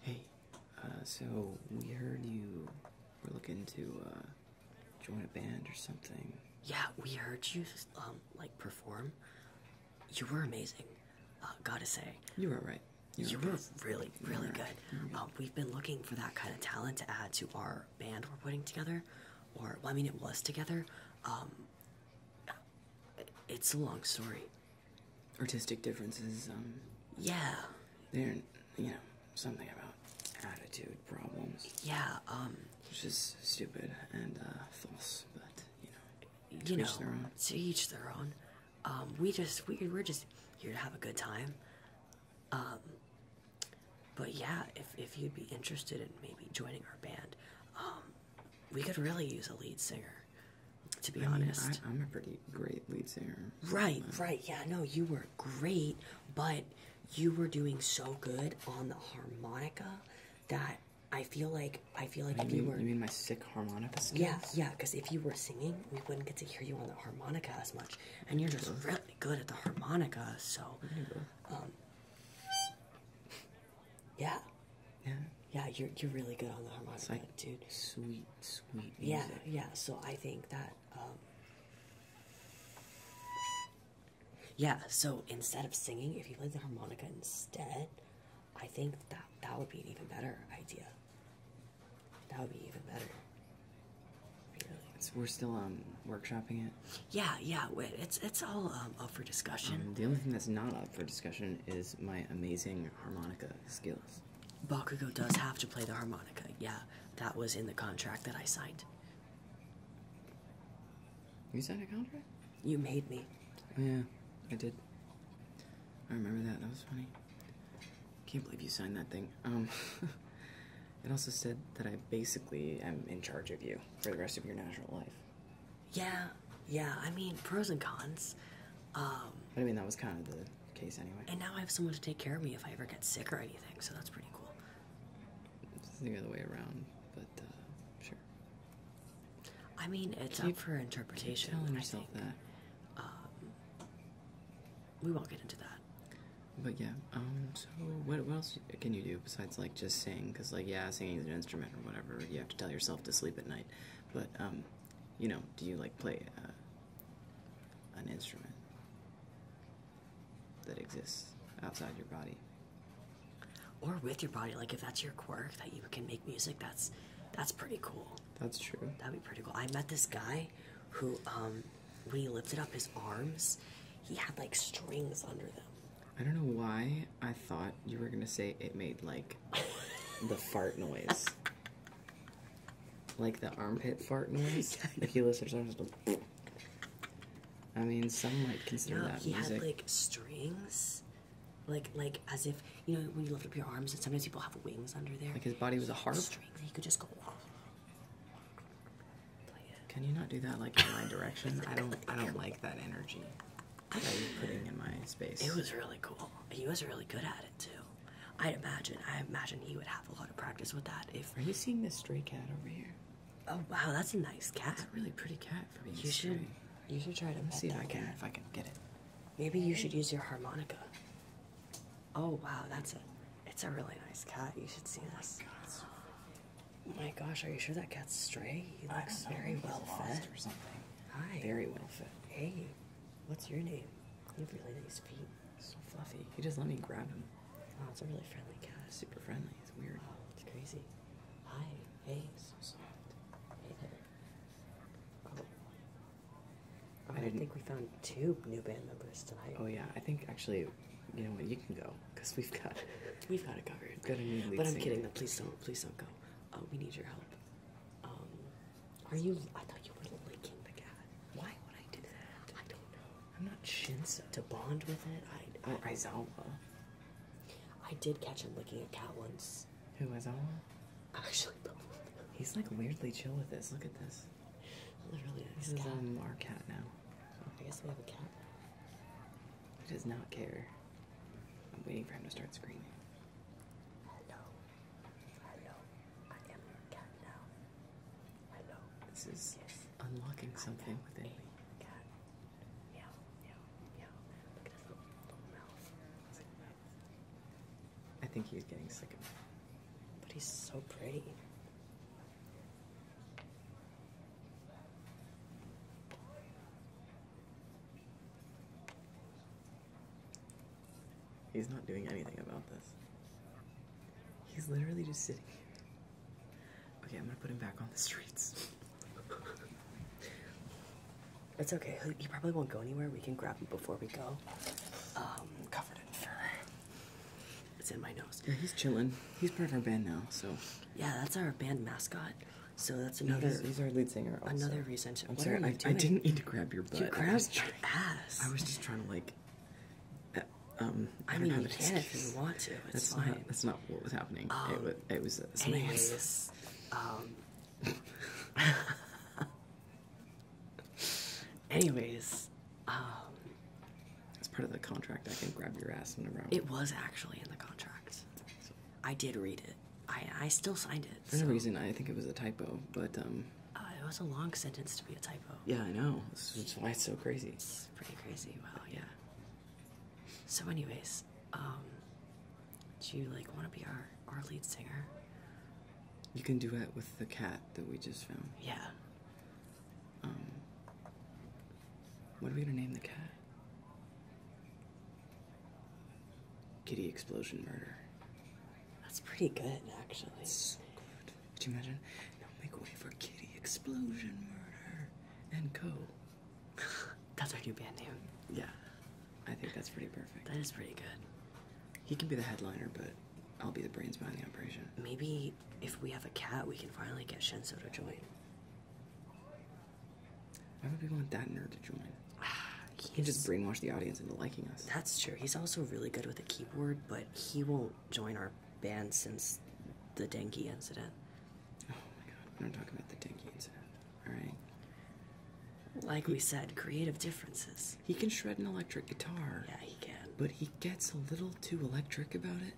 Hey, uh, so we heard you were looking to uh, join a band or something. Yeah, we heard you um, like perform. You were amazing. Uh, gotta say, you were right. You were, really, really good. we've been looking for that kind of talent to add to our band we're putting together, or I mean, it was together. Um, it's a long story artistic differences. Um, yeah, they you know something about attitude problems. Yeah, um, which is stupid and uh, false, but you know, you know, each their own. to each their own. Um, we just we we're just here to have a good time. but yeah, if if you'd be interested in maybe joining our band, we could really use a lead singer to be honest. I, am a pretty great lead singer. Right, uh, right. Yeah, no, you were great, but you were doing so good on the harmonica that I feel like I feel like if you, were. You mean my sick harmonica skills? Yeah, yeah. Because if you were singing, we wouldn't get to hear you on the harmonica as much, and you're just really good at the harmonica. So, yeah. Yeah. Yeah, you're you're really good on the harmonica, dude. Sweet, sweet. Music. Yeah, yeah. So I think that. Um, yeah. So instead of singing, if you play the harmonica instead, I think that that would be an even better idea. That would be even better. we're still um workshopping it. Yeah, yeah. Wait, It's it's all all um, for discussion. Um, the only thing that's not uh, for discussion is my amazing harmonica skills. Bakugo does have to play the harmonica. Yeah, that was in the contract that I signed. You signed a contract? You made me. Oh, yeah, I did. I remember that. That was funny. Can't believe you signed that thing. Um, it also said that I basically am in charge of you for the rest of your natural life. Yeah, yeah. I mean, pros and cons. Um, I mean, that was kind of the case anyway. And now I have someone to take care of me if I ever get sick or anything, so that's pretty cool. It's the other way around, but uh, sure. I mean, it's up for interpretation. Keep telling that. Um, we won't get into that. But yeah, um, so what, what else can you do besides like just sing? Because like yeah, singing is an instrument or whatever. You have to tell yourself to sleep at night. But um, you know, do you like play uh, an instrument that exists outside your body? Or with your body, like if that's your quirk that you can make music, that's that's pretty cool. That's true. That'd be pretty cool. I met this guy who um, when he lifted up his arms, he had like strings under them. I don't know why I thought you were gonna say it made like the fart noise. Like the armpit fart noise. If you listen to like, I mean some might consider no, that he had like strings. Like like as if you know when you lift up your arms and sometimes people have wings under there. Like his body was a harp. Strings he could just go Can you not do that like in my direction? I don't I don't like that energy that you're putting in my space. It was really cool. He was really good at it too. I imagine. I imagine he would have a lot of practice with that. If are you seeing this stray cat over here? Oh wow, that's a nice cat. That's a really pretty cat for being you Should, you should try to Let me see if I can. If I can get it. Maybe you should use your harmonica. Oh wow, that's a. It's a really nice cat. You should see this. Oh oh my gosh, are you sure that cat's stray? He looks very well fed. Or something. Hi. Very well fed. Hey, what's your name? You have really nice feet. So fluffy. He just let me grab him. Wow, it's a really friendly cat. Super friendly. It's weird. Oh, it's crazy. Hi. Hey. So soft. Oh. I, think we found two new band members tonight. Oh yeah, I think actually, you know what? You can go because we've got, we've got it covered. Got a new lead But I'm kidding. No, please don't. Please don't go. Uh, we need your help. Um, are you? I thought you were licking the cat. Why would I do that? I don't know. I'm not Shinsa to bond with it. I or Izawa. I did catch him licking a cat once. Who Izawa? Actually, both. He's like weirdly chill with this. Look at this. Literally, this is um, our cat now. I guess we have a cat. He does not care. I'm waiting for him to start screaming. Hello. Hello. I am your cat now. Hello. This is unlocking something within me. I think he was getting sick of me. But he's so pretty. He's not doing anything about this. He's literally just sitting here. Okay, I'm gonna put him back on the streets. it's okay, he probably won't go anywhere. We can grab him before we go. Um, covered in fur. It's in my nose. Yeah, he's chilling. He's part of our band now, so. Yeah, that's our band mascot. So that's another. No, he's, he's our lead singer. Also. Another reason. To, I'm sorry, I, I, didn't mean to grab your butt. You grabbed I was your ass. I was just trying to like. Uh, um, I, I mean, you can if you want to. It's that's fine. Not, that's not what was happening. Um, it was. It was. Uh, anyways, um. anyways, um. As part of the contract, I can grab your ass whenever I want. It was actually in the contract. So. I did read it. I, I still signed it. For so. reason, I think it was a typo, but um. Uh, it was a long sentence to be a typo. Yeah, I know. That's why it's so crazy. It's pretty crazy. Well, yeah. So, anyways, um, do you like want to be our our lead singer? You can do it with the cat that we just found. Yeah. Um, what are we gonna name the cat? Kitty Explosion Murder. That's pretty good, actually. That's so good. Could you imagine? Now make way for Kitty Explosion Murder and Co. that's our new band name. Yeah, I think that's pretty perfect. That is pretty good. He can be the headliner, but I'll be the brains behind the operation. Maybe if we have a cat, we can finally get Shenzo to join. Why would we want that nerd to join? He can just brainwash the audience into liking us. That's true. He's also really good with a keyboard, but he won't join our band since the Denki incident. Oh my god, we're not talking about the Denki incident. Alright. Like we said, creative differences. He can shred an electric guitar. Yeah, he can. But he gets a little too electric about it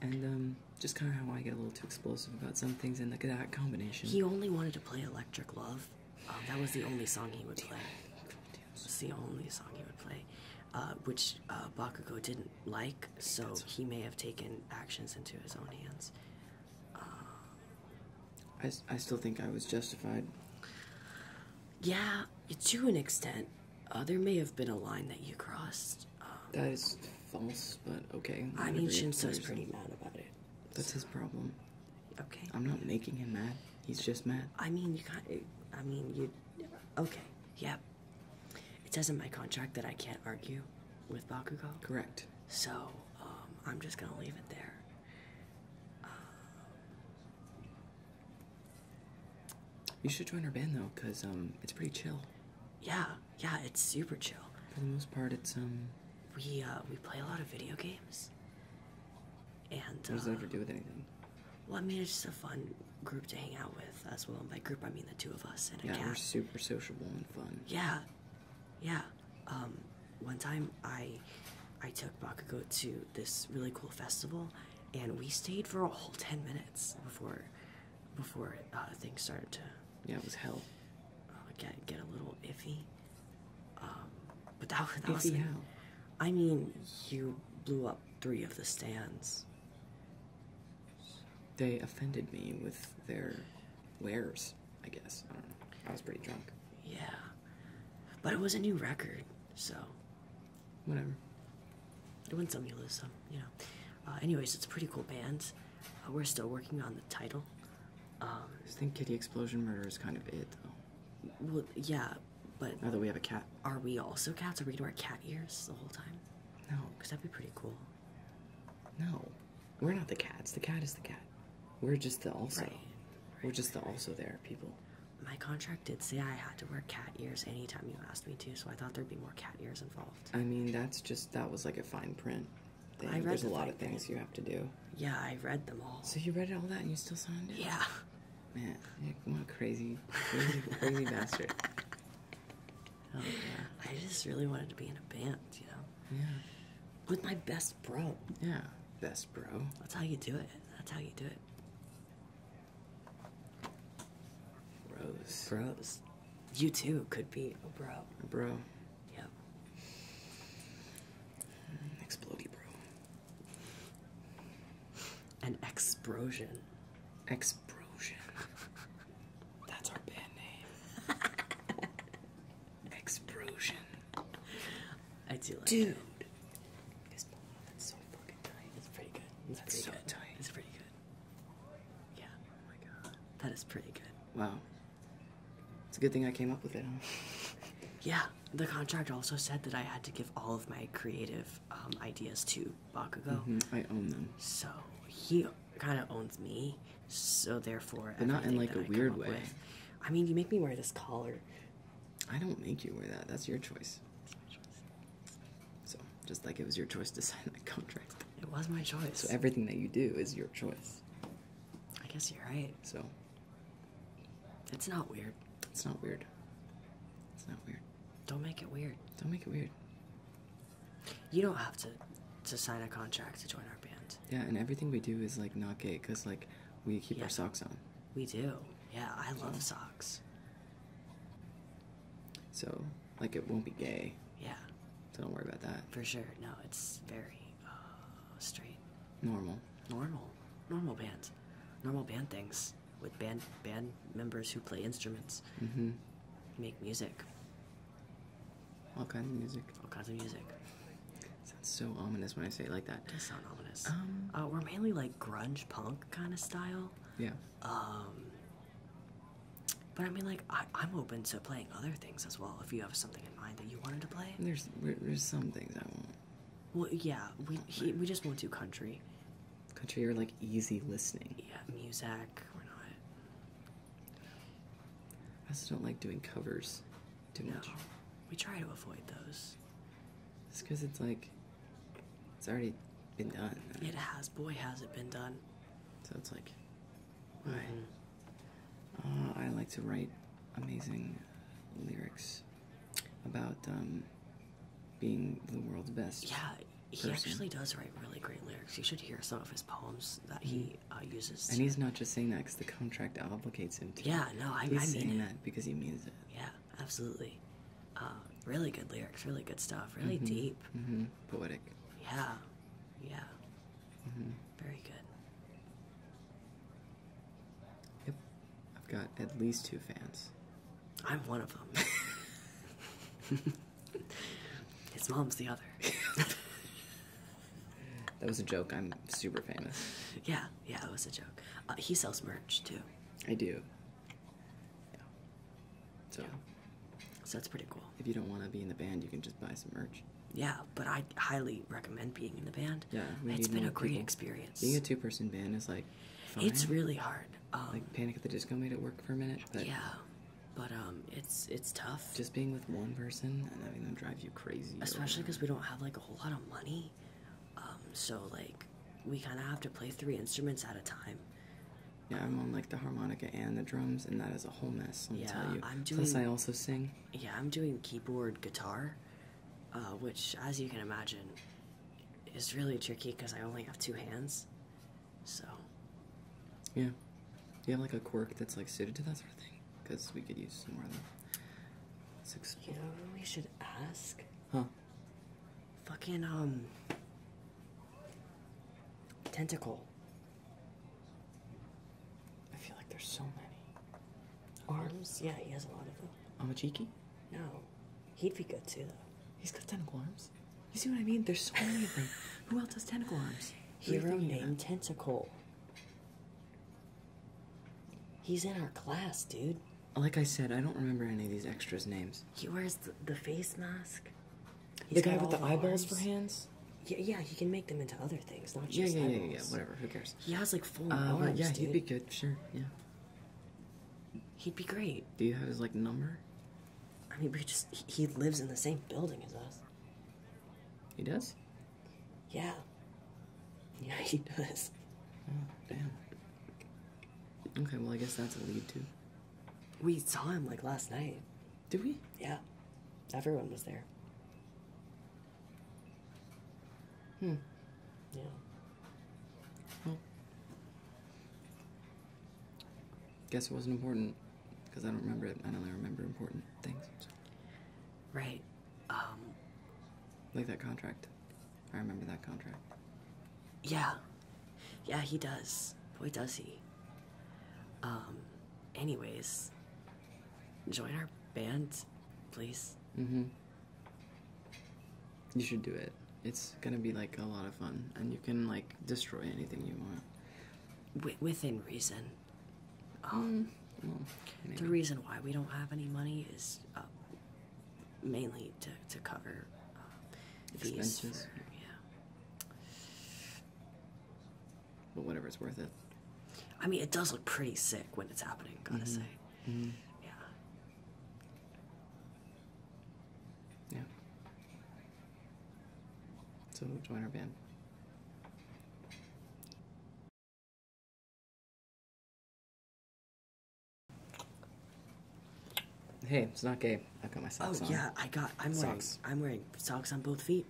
and um, just kind of how I get a little too explosive about some things in the, that combination. He only wanted to play Electric Love. Um, that was the only song he would play. It's the only song he would play, uh, which uh, Bakugo didn't like, so he may have taken actions into his own hands. Um, I, I still think I was justified. Yeah, to an extent. Uh, there may have been a line that you crossed. Um, that is false, but okay. I mean, Shinso's pretty mad about it. That's his problem. Okay. I'm not making him mad. He's just mad. I mean, you can't. Eh, I mean, you. Okay. Yeah. It says in my contract that I can't argue with Bakugo. Correct. So um, I'm just gonna leave it there. you should join our band though, cause um, it's pretty chill yeah, yeah, it's super chill. For the most part, it's um. We uh, we play a lot of video games. And what does that uh, ever do with anything? Well, I mean, it's just a fun group to hang out with as well. And by group, I mean the two of us and yeah, we're super sociable and fun. Yeah, yeah. Um, one time I, I took Bakugo to this really cool festival, and we stayed for a whole ten minutes before before uh, things started to yeah it was hell uh, get get a little iffy. Um, but that, that was I mean, you blew up three of the stands. They offended me with their wares. I guess I was pretty drunk. Yeah, but it was a new record, so whatever. You win some, you lose some, you know. Uh, anyways, it's a pretty cool band. Uh, we're still working on the title. Um, I think Kitty Explosion Murder is kind of it, though. Well, yeah, but. Now that we have a cat. Are we also cats? Are we gonna wear cat ears the whole time? No. Because that'd be pretty cool. No. We're not the cats. The cat is the cat. We're just the also. We're just the also there people. My contract did say I had to wear cat ears anytime you asked me to, so I thought there'd be more cat ears involved. I mean, that's just that was like a fine print There's a lot of things you have to do. Yeah, I read them all. So you read all that and you still signed it? Yeah. Man, what a crazy, crazy, crazy bastard. I just really wanted to be in a band, you know? Yeah. With my best bro. Yeah, best bro. That's how you do it. That's how you do it. Rose, Rose, You too could be a bro. bro. Yep. An mm, bro. An explosion. Explosion. That's our band name. explosion. I do like Dude. That. Dude. That's so fucking tight. It's pretty good. It's so tight. It's pretty good. Yeah. That is pretty good. Wow. It's a good thing I came up with it. yeah. The contract also said that I had to give all of my creative um, ideas to Bakugo. Mm I own them. So he kind of owns me. So therefore, but not in like a weird way. I mean, you make me wear this collar. I don't make you wear that. That's your choice. So, just like it was your choice to sign that contract. It was my choice. So, everything that you do is your choice. I guess you're right. So, it's not weird. It's not weird. It's not weird. Don't make it weird. Don't make it weird. You don't have to to sign a contract to join our band. Yeah, and everything we do is like not gay because like we keep our socks on. We do. Yeah, I love socks. So, like, it won't be gay. Yeah. So don't worry about that. For sure. No, it's very uh, straight. Normal. Normal. Normal band. Normal band things with band band members who play instruments, mm-hmm. make music. All kinds of music. All kinds of music. Sounds so ominous when I say it like that. It does sound ominous. Um, uh, we're mainly like grunge punk kind of style. Yeah. Um, but I mean, like, I, I'm open to playing other things as well. If you have something in mind that you wanted to play, there's there's some things I want. Well, yeah, we we just won't do country. Country or like easy listening. Yeah, music. We're not. I also don't like doing covers too no, much. We try to avoid those. It's because it's like it's already been done. It has. Boy, has it been done. So it's like, mm-hmm. uh, I like to write amazing lyrics about um, being the world's best. Yeah, he actually does write really great lyrics. You should hear some of his poems that he mm-hmm. uh, uses. And he's not just saying that because the contract obligates him to. Yeah, no, I, am saying that because he means it. Yeah absolutely. Uh, really good lyrics, really good stuff, really mm-hmm. deep, mm-hmm. poetic. Yeah, yeah. Mm-hmm. Very good. I've got at least two fans. I'm one of them. His mom's the other. that was a joke. I'm super famous. Yeah, yeah, it was a joke. Uh, he sells merch too. I do. Yeah. So. So that's pretty cool. If you don't want to be in the band, you can just buy some merch. Yeah, but I highly recommend being in the band. Yeah, it's been a great experience. Being a two-person band is like. It's really hard. Um, like Panic at the Disco made it work for a minute. But yeah, but um, it's it's tough. Just being with one person and having them drive you crazy. Especially because we don't have like a whole lot of money. Um, so like we kind of have to play three instruments at a time. Yeah, I'm on like the harmonica and the drums, and that is a whole mess. yeah, I'm doing, Plus, I also sing. Yeah, I'm doing keyboard guitar, uh, which, as you can imagine, is really tricky because I only have two hands. So. Yeah, you have like a quirk that's like suited to that sort of thing, because we could use some more of that. Six. You know, we should ask. Huh. Fucking, um. Tentacle. I feel like there's so many. Arms? Yeah, he has a lot of them. Amachiki? No. He'd be good too, though. He's got tentacle arms. You see what I mean? There's so many of them. Who else has tentacle arms? Hero named Tentacle. He's in our class, dude like I said, I don't remember any of these extras' names. He wears the, face mask. the guy with the, eyeballs for hands. Yeah, yeah, he can make them into other things, not just yeah, yeah, eyeballs. yeah, yeah, whatever. Who cares? He has like four uh, arms. But yeah, he'd be good. Sure, yeah. He'd be great. Do you have his like number? I mean, we just he lives in the same building as us. He does. Yeah. Yeah, he does. Oh, damn. Okay, well, I guess that's a lead, too. We saw him, like, last night. Did we? Yeah. Everyone was there. Hmm. Yeah. Well, guess it wasn't important because I don't remember it. I only remember important things. Right. Um. Like that contract. I remember that contract. Yeah. Yeah, he does. Boy, does he. Um, anyways, join our band, please. Mm hmm. You should do it. It's gonna be like a lot of fun, and you can like destroy anything you want. W within reason. Um, the reason why we don't have any money is uh, mainly to, to cover uh, these. yeah. But whatever, it's worth it. I mean, it does look pretty sick when it's happening, gotta mm-hmm. say. Mm-hmm. Yeah. Yeah. So join our band. Hey, it's not gay. I've got my socks oh, on. Oh yeah, I got. I'm wearing. I'm wearing socks on both feet.